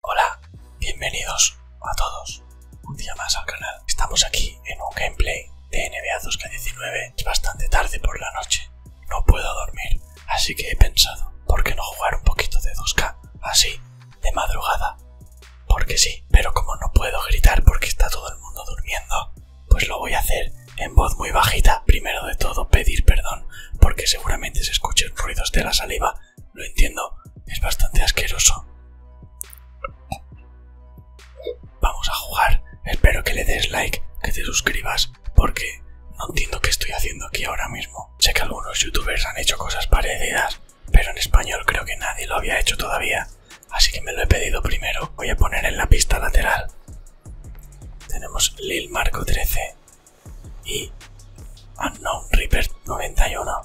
Hola, bienvenidos a todos un día más al canal. Estamos aquí en un gameplay de NBA 2K19. Es bastante tarde por la noche, no puedo dormir, así que he pensado, ¿por qué no jugar un poquito de 2K? Así, de madrugada. Porque sí, pero como no puedo gritar porque está todo el mundo durmiendo, pues lo voy a hacer en voz muy bajita. Primero de todo, pedir perdón, porque seguramente se escuchen ruidos de la saliva lo entiendo, es bastante asqueroso. Vamos a jugar, espero que le des like, que te suscribas, porque no entiendo qué estoy haciendo aquí ahora mismo. Sé que algunos youtubers han hecho cosas parecidas, pero en español creo que nadie lo había hecho todavía, así que me lo he pedido primero. Voy a poner en la pista lateral. Tenemos Lil Marco 13, y Unknown Reaper 91.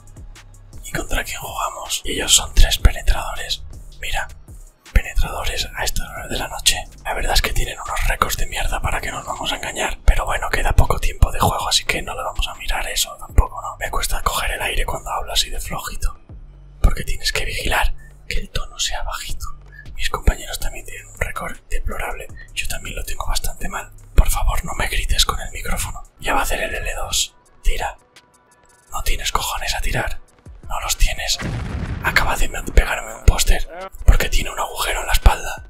¿Y contra quién jugamos? ellos son tres penetradores. Mira, penetradores a estas horas de la noche. La verdad es que tienen unos récords de mierda para que nos vamos a engañar. Pero bueno, queda poco tiempo de juego, así que no lo vamos a mirar eso tampoco, ¿no? Me cuesta coger el aire cuando hablo así de flojito. Porque tienes que vigilar que el tono sea bajito. Mis compañeros también tienen un récord Deplorable. Yo también lo tengo bastante mal. Por favor, no me grites con el micrófono. Ya va a hacer el L2. Tira. No tienes cojones a tirar. No los tienes. Acaba de pegarme un póster. Porque tiene un agujero en la espalda.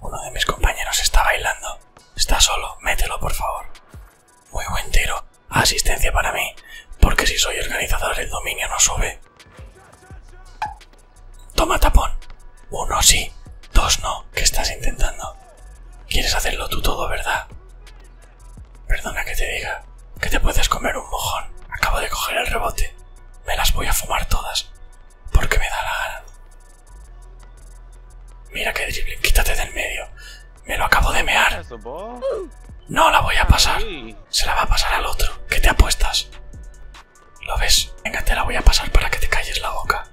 Uno de mis compañeros está bailando. Está solo. Mételo, por favor. Muy buen Asistencia para mí. Porque si soy organizador el dominio no sube. Toma tapón. Uno sí, dos no. ¿Qué estás intentando? Quieres hacerlo tú todo, ¿verdad? Perdona que te diga que te puedes comer un mojón. Acabo de coger el rebote. Me las voy a fumar todas. Porque me da la gana. Mira que drible. Quítate del medio. Me lo acabo de mear. No la voy a pasar. Se la va a pasar al otro. ¿Qué te apuestas? ¿Lo ves? Venga, te la voy a pasar para que te calles la boca.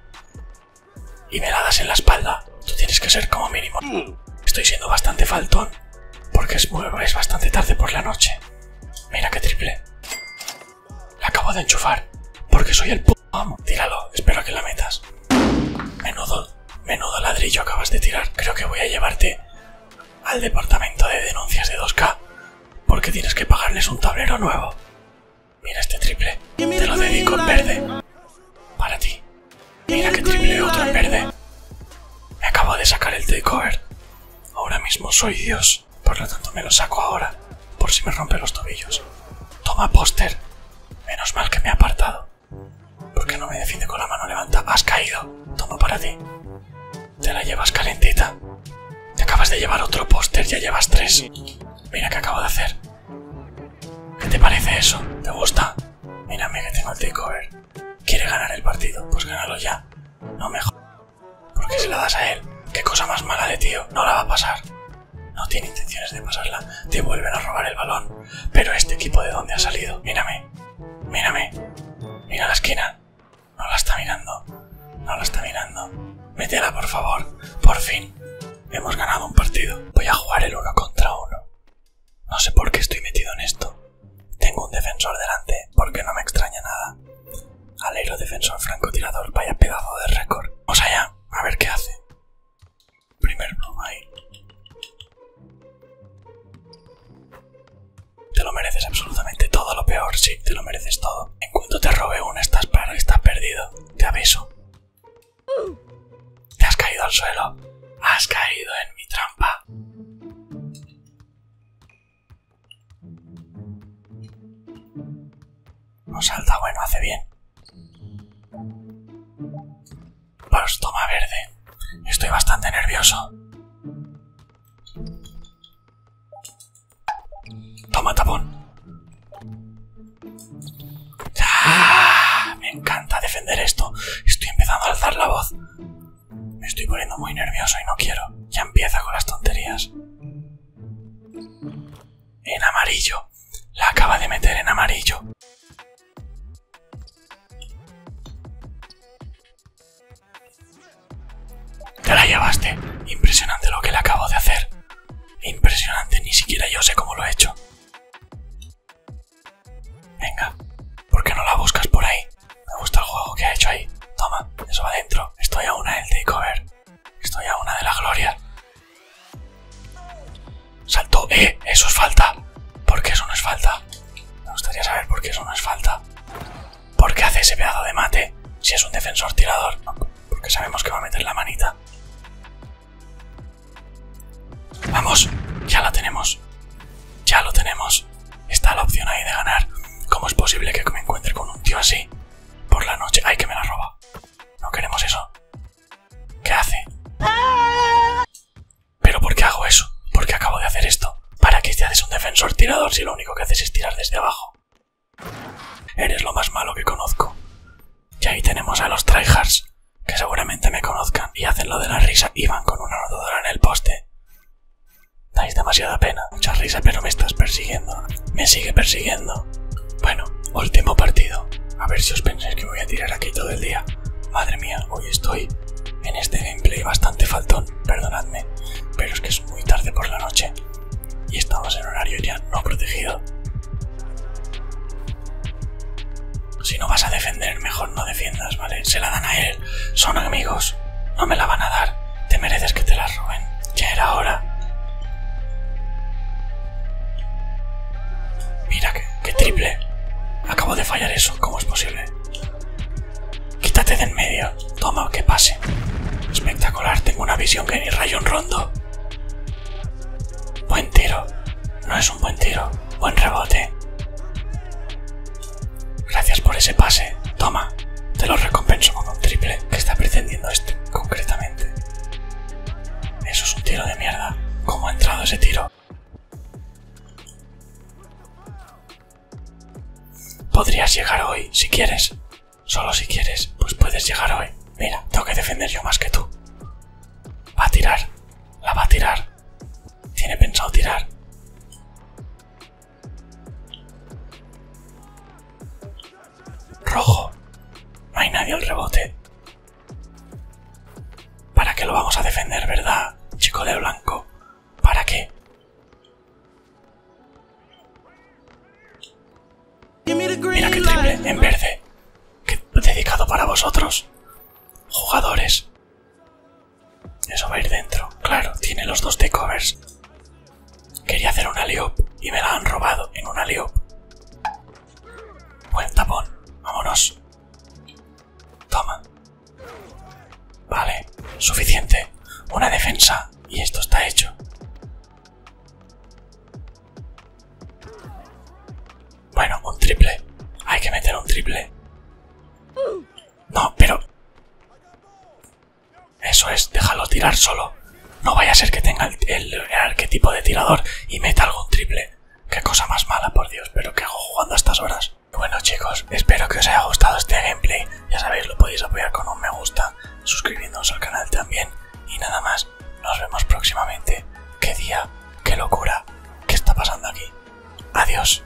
Y me la das en la espalda. Tú tienes que ser como mínimo. Estoy siendo bastante faltón. Porque es, es bastante tarde por la noche. Mira qué triple. La acabo de enchufar. Porque soy el puto Tíralo. Espero que la metas. Menudo, menudo ladrillo acabas de tirar. Creo que voy a llevarte al departamento de denuncias de 2K porque tienes que pagarles un tablero nuevo. Mira este triple, te lo dedico en verde. Para ti. Mira que triple otro en verde. Me acabo de sacar el takeover. Ahora mismo soy Dios, por lo tanto me lo saco ahora, por si me rompe los tobillos. Toma póster. Menos mal que me ha apartado. ¿Por qué no me defiende con la mano levanta? Has caído. Toma para ti. Te la llevas calentita. Te acabas de llevar otro póster, ya llevas tres. Mira qué acabo de hacer. ¿Qué te parece eso? ¿Te gusta? Mírame que tengo el takeover. ¿Quiere ganar el partido? Pues gánalo ya. No mejor. ¿Por qué se la das a él? Qué cosa más mala de tío. No la va a pasar. No tiene intenciones de pasarla. Te vuelven a robar el balón. Pero este equipo de dónde ha salido. Mírame. Mírame. Mira la esquina. No la está mirando. No la está mirando. Métela, por favor. Por fin. Hemos ganado un partido. Voy a jugar el uno contra uno. No sé por qué estoy metido en esto. Tengo un defensor delante, porque no me extraña nada. Alero defensor francotirador, vaya pedazo de récord. Vamos allá, a ver qué hace. Primer pluma ahí. Te lo mereces absolutamente todo lo peor, sí, te lo mereces todo. En cuanto te robe uno estás, y estás perdido. Te aviso. Te has caído al suelo. Has caído en mi trampa. No salta, bueno, hace bien. Pues toma verde. Estoy bastante nervioso. Toma tapón. Ah, me encanta defender esto. Estoy empezando a alzar la voz. Me estoy poniendo muy nervioso y no quiero. Ya empieza con las tonterías en amarillo. La acaba de meter en amarillo. Te la llevaste. Impresionante lo que le acabo de hacer. Impresionante, ni siquiera yo sé cómo lo he hecho. Venga, ¿por qué no la buscas por ahí? Me gusta el juego que ha hecho ahí. Toma, eso va adentro. Estoy a una el takeover. Estoy a una de la gloria. Salto, eh, eso es falta. ¿Por qué eso no es falta? Me gustaría saber por qué eso no es falta. ¿Por qué hace ese pedazo de mate si es un defensor tirador? porque sabemos que va a meter la manita. Vamos, ya la tenemos. Ya lo tenemos. Está la opción ahí de ganar. ¿Cómo es posible que me encuentre con un tío así? Por la noche. ¡Ay, que me la roba! No queremos eso. ¿Qué hace? ¿Pero por qué hago eso? ¿Por qué acabo de hacer esto? ¿Para qué te haces un defensor tirador si lo único que haces es tirar desde abajo? Eres lo más malo que conozco. Y ahí tenemos a los tryhards, que seguramente me conozcan y hacen lo de la risa y van con una rodadora en el poste. Dais demasiada pena mucha risa, pero me estás persiguiendo. Me sigue persiguiendo. Bueno, último partido. A ver si os pensáis que voy a tirar aquí todo el día. Madre mía, hoy estoy en este gameplay bastante faltón, perdonadme, pero es que es muy tarde por la noche y estamos en horario ya no protegido. Si no vas a defender, mejor no defiendas, ¿vale? Se la dan a él, son amigos, no me la van a dar. Te mereces que te las roben. Ya era hora. Mira, qué, triple. Acabo de fallar eso. ¿Cómo es posible? Quítate de en medio. Toma, que pase. Espectacular. Tengo una visión que ni rayo en rondo. Buen tiro. No es un buen tiro. Buen rebote. Gracias por ese pase. Toma. Te lo recompenso con un triple que está pretendiendo este concretamente. Eso es un tiro de mierda. ¿Cómo ha entrado ese tiro? Podrías llegar hoy, si quieres. Solo si quieres, pues puedes llegar hoy. Mira, tengo que defender yo más que tú. Va a tirar. La va a tirar. Tiene pensado tirar. Rojo. No hay nadie al rebote. ¿Para qué lo vamos a defender, verdad, chico de blanco? ¿Para qué? Mira que triple en verde. dedicado para vosotros, jugadores. Eso va a ir dentro. Claro, tiene los dos covers. Quería hacer una liop y me la han robado en una liop. Buen tapón. Vámonos. Toma. Vale, suficiente. Una defensa y esto está hecho. Bueno, un triple. Hay que meter un triple. No, pero... Eso es, déjalo tirar solo. No vaya a ser que tenga el, arquetipo de tirador y meta algún triple. Qué cosa más mala, por Dios, pero ¿qué hago jugando a estas horas? Bueno chicos, espero que os haya gustado este gameplay. Ya sabéis, lo podéis apoyar con un me gusta, suscribiéndoos al canal también. Y nada más, nos vemos próximamente. ¡Qué día! ¡Qué locura! ¿Qué está pasando aquí? Adiós.